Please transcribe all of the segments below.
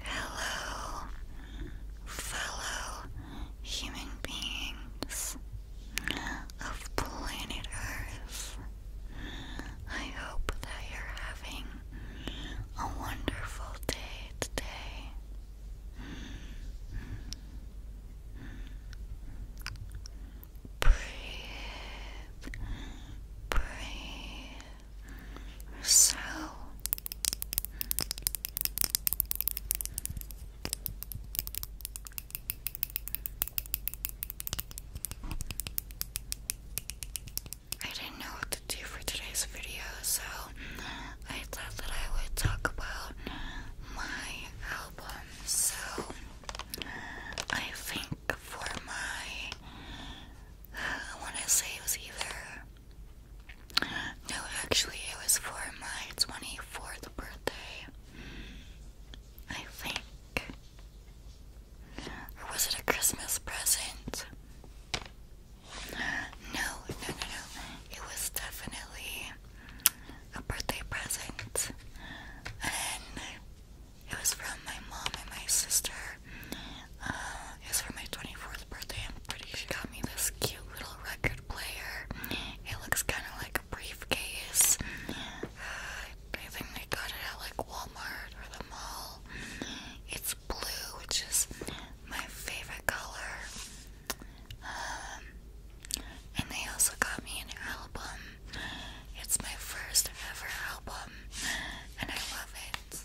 Hello, fellow human beings of planet Earth. I hope that you're having a wonderful day today. Breathe, breathe, so I didn't know what to do for today's video, so I thought that I would talk about my album. So I think for my, I want to say it was either no, actually, it was for my 24th birthday. I think. was it a Christmas present? No, no, no, no. It was definitely a birthday present. And it was from my mom and my sister. Uh, it's for my 24th birthday. I'm pretty she got me this cute little record player. It looks kind of like a briefcase. Uh, I think they got it at like Walmart or the mall. It's blue, which is my favorite color. Um, and they also got me an album. It's my first ever album, and I love it.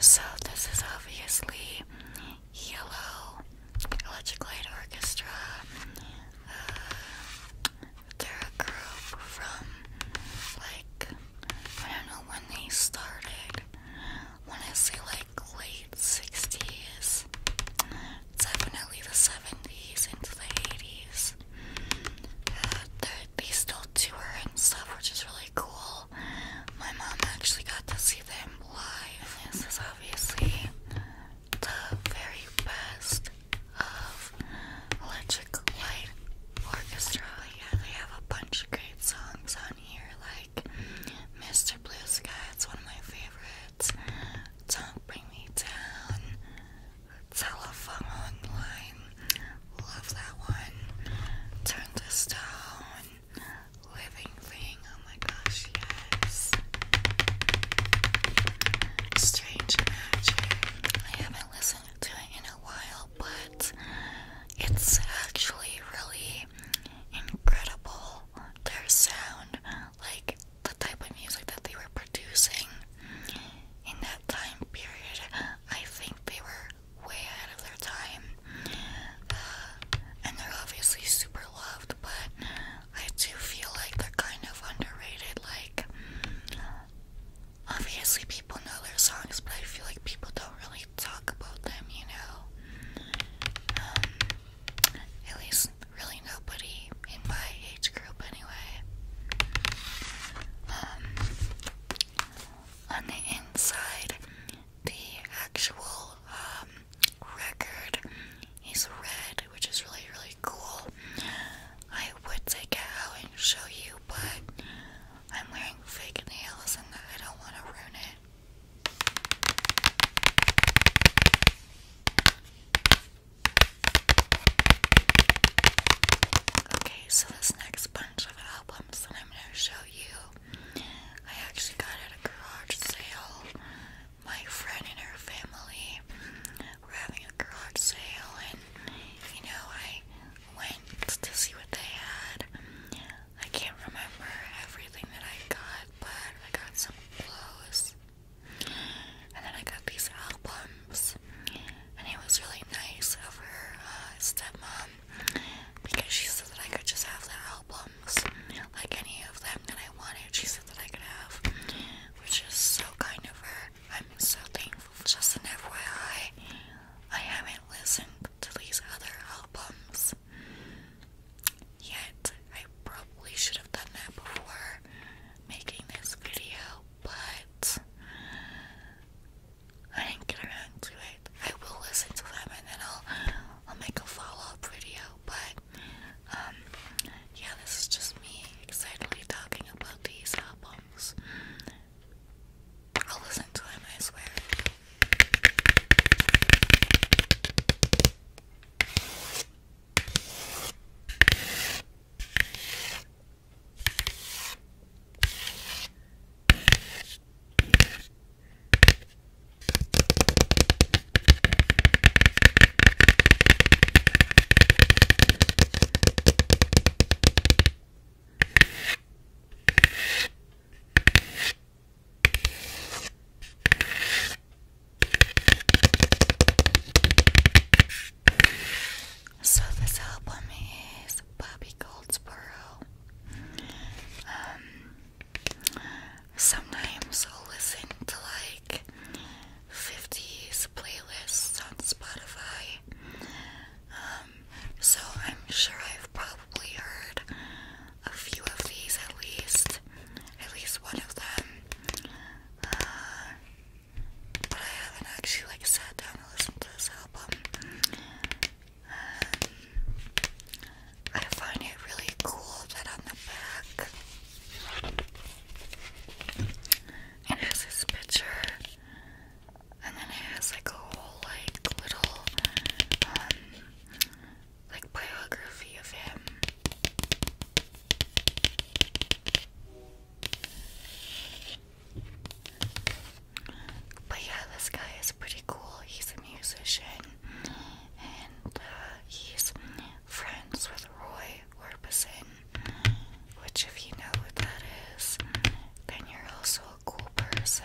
So, this is obviously yellow Electric Light Orchestra. Uh, they're a group from like I don't know when they started. When I say like late sixties, definitely the seventies into the eighties. Uh, they still tour and stuff, which is really cool. My mom actually got to see them live. This is obviously the very best of Electric Light Orchestra. Yeah, they have a bunch of great songs on here, like Mr. Blue Sky, is one of my favorites. Don't Bring Me Down, Telephone Line, love that one. Turn to Stone, Living Thing, oh my gosh, gosh, I haven't listened to it in a while, but it's actually really incredible. Their sound, like the type of music that they were producing in that time period, I think they were way ahead of their time. Uh, and they're obviously super loved, but I do feel like they're kind of underrated. Like, mm, obviously, people know their songs, but I feel like people don't really talk about them, you know? Um, at least, really, nobody in my age group, anyway. Um, on the inside, the actual um, record is red which is really, really cool. I would take it out and show you, but I'm wearing fake nails and I don't want to ruin it. Okay, so this next bunch of albums that I'm going to show you, I actually got at a garage sale my friend and her family were having a garage sale, and you know, I went to see what they had. I can't remember everything that I got, but I got some clothes, and then I got these albums, and it was really nice of her uh, stepmom because she said that I could just have the albums, like any of them, that I wanted, she said that I could have, which is so kind of her. I'm so thankful. Just an FYI, I haven't listened to these other albums yet. I probably should have done that before making this video, but I didn't get around to it. I will listen to them and then I'll I'll make a follow-up video, but um, yeah, this is just me excitedly talking about these albums. I'll listen to them, I swear. So this album is Bobby Goldsboro. Um, sometimes i listen to like 50s, playlists on Spotify. Um, so I'm sure I've probably heard a few of these at least, at least one of them. Uh, but I haven't actually like sat down and listened to this album. Um, I find it really cool that on the back it has his picture, and then it has like a whole like little um, like biography of him. But yeah, this guy is pretty cool. He's a musician and uh, he's friends with Roy Orbison, which, if you know what that is, then you're also a cool person.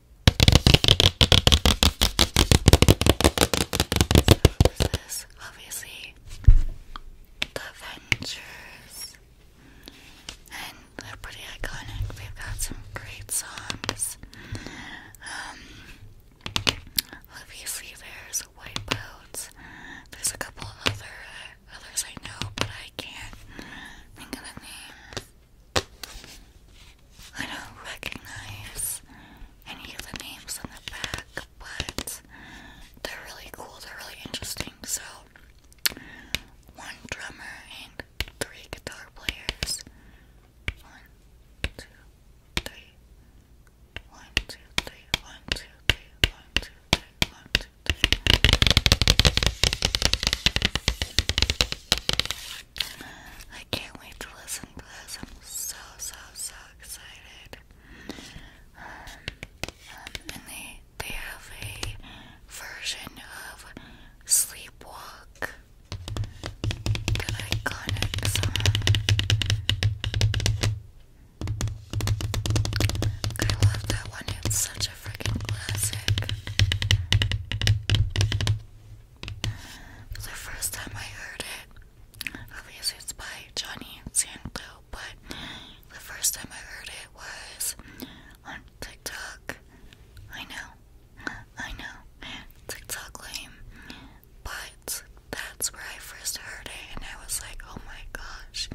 So is obviously the Ventures, and they're pretty iconic. They've got some great songs. Um, obviously there's White There's a couple other others I know, but I can't think of the names. I don't recognize any of the names in the back, but they're really cool, they're really interesting. So, one drummer and three guitar players. One, two, three. One, two, three. One, two, three. One, two, three. One, two, three. I can't wait to listen to this. I'm so, so, so excited. Um, and they, they have a version of Sleepwalk, I love that one, it's such a freaking classic. It was the first time I heard it. Obviously, it's by Johnny Sandlow, but the first time I heard it was on TikTok. I know, I know, TikTok lame, but that's where I first heard it, and I was like, oh my gosh,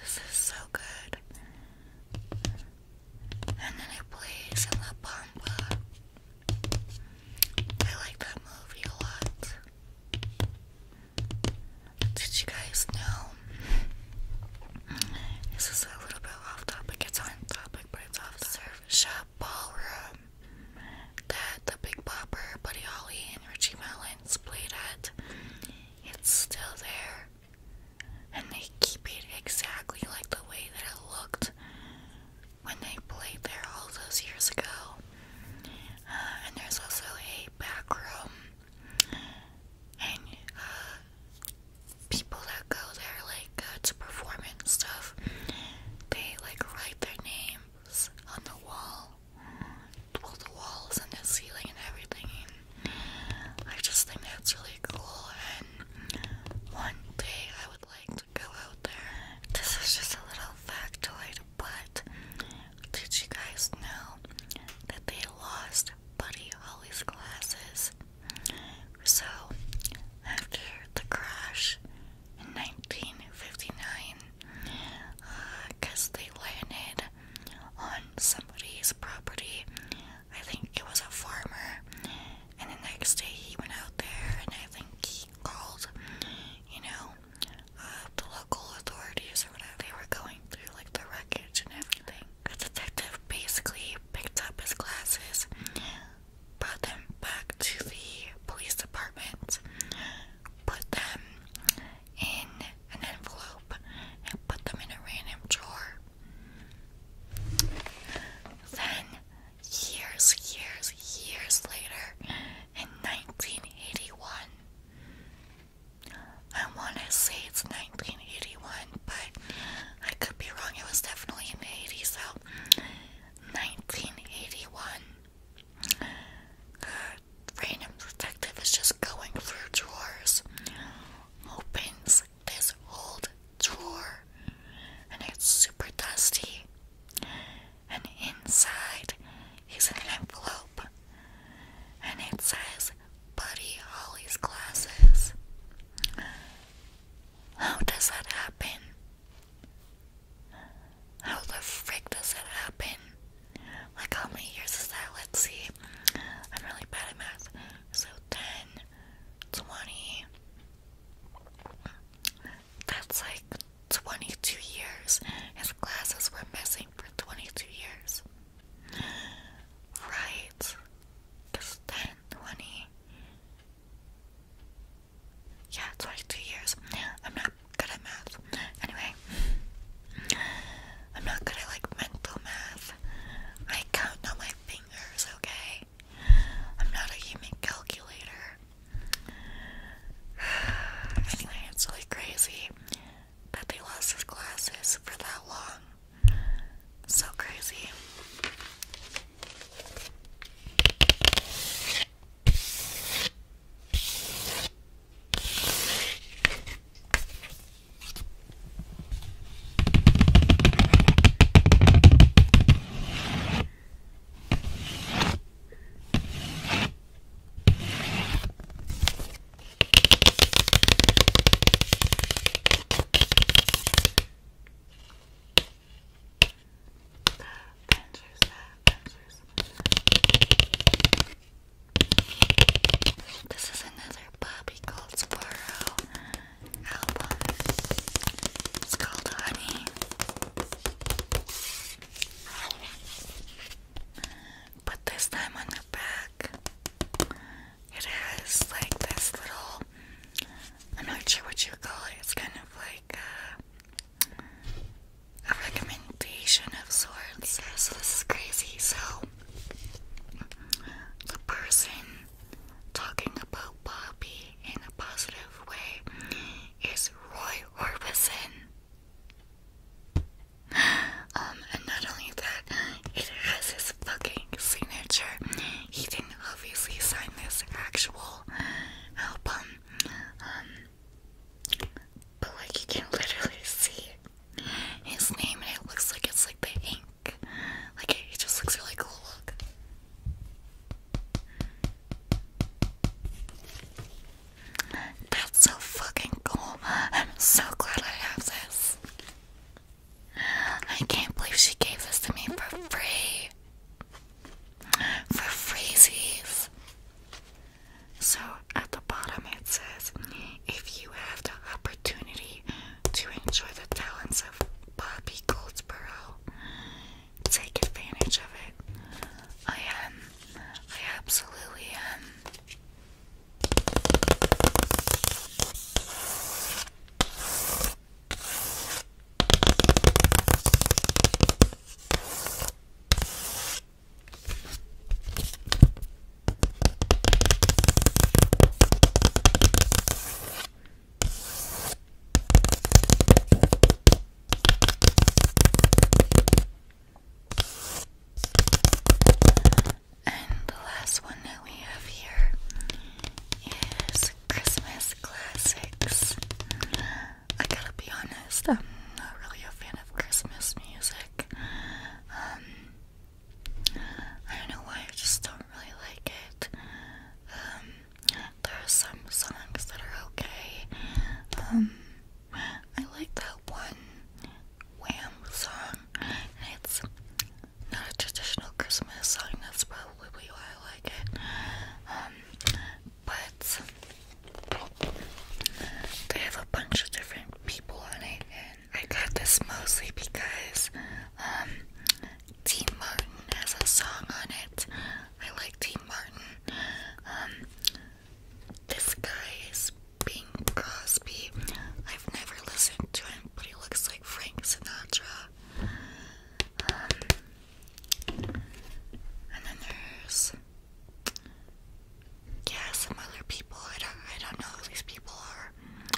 this is so good and then it plays in La Pampa. I like that movie a lot. Did you guys know? This is a little bit off topic. It's on topic, but it's off surf shop ballroom that the Big Bopper, Buddy Holly, and Richie Mullins played at. It's still there and they keep it exactly like the way that it looked when they played there all those years ago. Uh, and there's also a back room, and uh, people that go there, like uh, to perform and stuff, they like write their names on the wall, well, the walls and the ceiling and everything. I just think that's really cool, and one day I. I would like to go out there. This is just a little factoid, but did you guys know that they lost Buddy Holly's glasses? So, after the crash in 1959, because uh, they landed on somebody's property I think it was a farmer, and the next day he went out there, and I think he called, you know, uh, the local authorities or whatever. They were going through like the wreckage and everything. The detective basically picked up his glasses, brought them back to the police department, put them in an envelope, and put them in a random drawer. Then years, years, years later in 1981. I want to say it's 1981, but I could be wrong. It was definitely in the 80s, so 1981. Uh, random detective is just going through drawers, opens this old drawer and it's super dusty. And inside is an envelope and it says Buddy Holly's glasses. How does that happen? How the frick does that happen? Like, how many years is that? Let's see. I'm really bad at math. So 10, 20, that's like 22 years. His glasses were missing for 22 years. Right. Because 10, 20. Yeah, 22 years. I'm not good at math. Anyway, I'm not good at like mental math. I count on my fingers, okay? I'm not a human calculator. Anyway, it's really crazy that they lost his glasses for that long. So crazy. Avengers, Avengers. This is another Bobby Goldsboro it's called Honey. But this time on the back, it has like this little. I'm not sure what you call it. It's kind of like uh, a, recommendation of sorts. this is crazy. So the person talking about Bobby in a positive way is Roy Orbison. Um, and not only that, it has his fucking signature. He didn't obviously sign this actual album. Um, but like you can literally see his name and it looks like it's like the ink. Like it, it just looks really cool. Look. That's so fucking cool. I'm so glad I have this. I can't believe she gave this to me for free. For free, freezies. So at the bottom it says if you have the opportunity to enjoy the talents of Bobby Goldsboro, take advantage of it. I am. I absolutely am. And the last one that we have here is Christmas Classics. I gotta be honest, I'm not really a fan of Christmas music. Um, I don't know why, I just don't really like it. Um, there are some songs that are okay. Um, I like that one Wham song. It's not a traditional Christmas song. That's probably why I like it. Um, but they have a bunch of different people on it, and I got this mostly because um Dean Martin has a song on it. I like Dean Martin. Um, this guy is Bing Crosby. I've never listened to him, but he looks like Frank Sinatra. Um, and then there's yeah, some other people. I don't, I don't know who these people are.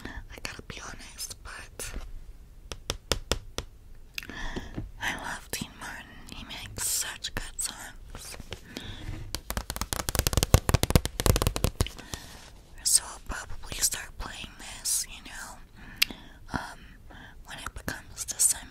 I gotta be honest, but I love Dean Martin. He makes such good songs. So I'll probably start playing this, you know, um, when it becomes December.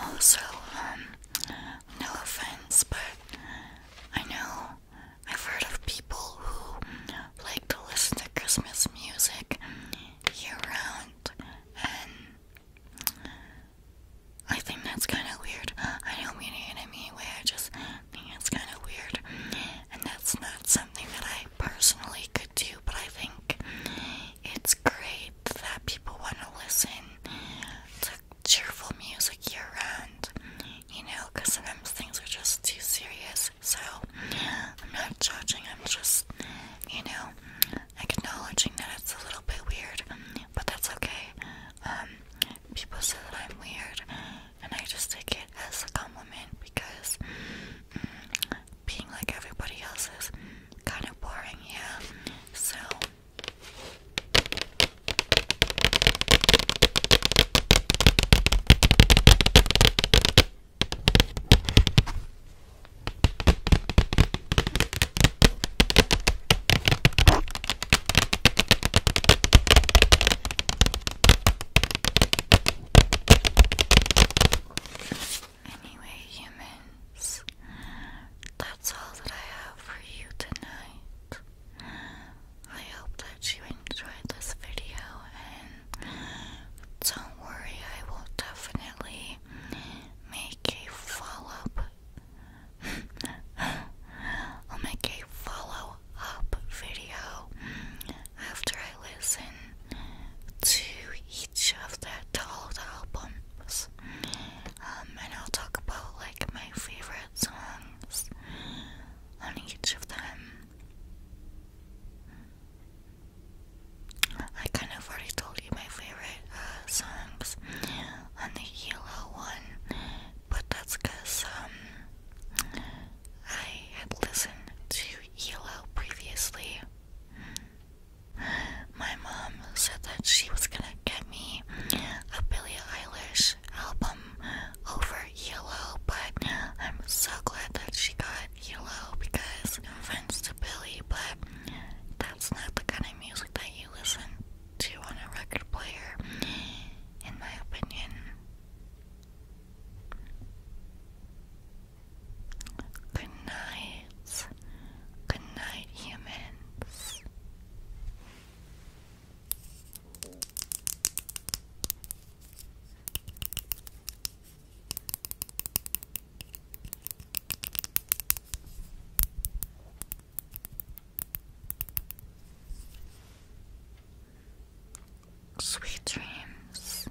Also, um, but I know I've heard of people who like to listen to Christmas music year round, and I think that's kind of weird. I don't mean it in any way, I just think it's kind of weird, and that's not something that I personally could do, but I think it's great that people want to listen to cheerful music year round, you know, because sometimes things are just too serious. So I'm not judging, I'm just, you know, acknowledging that it's a little bit weird, but that's okay. Um, people say that I'm weird, and I just take it as a compliment because mm, being like everybody else is kind of boring, yeah. So Anyway, humans, that's all that I have for you tonight. I hope that you enjoyed this video, and don't worry, I will definitely make a follow up. I'll make a follow up video after I listen to each of the all the albums, um, and I'll talk about like my favorite songs on each of them. I kind of already told you my favorite uh, songs on the yellow one, but that's because um, I had listened to yellow previously. My mom said that she was gonna get me a Billie Eilish album over Yellow, but I'm so glad that she got Yellow because I'm friends to Billie, but that's not the kind of music that you listen to on a record player, in my opinion. Good night. Good night, humans. Sweet dreams.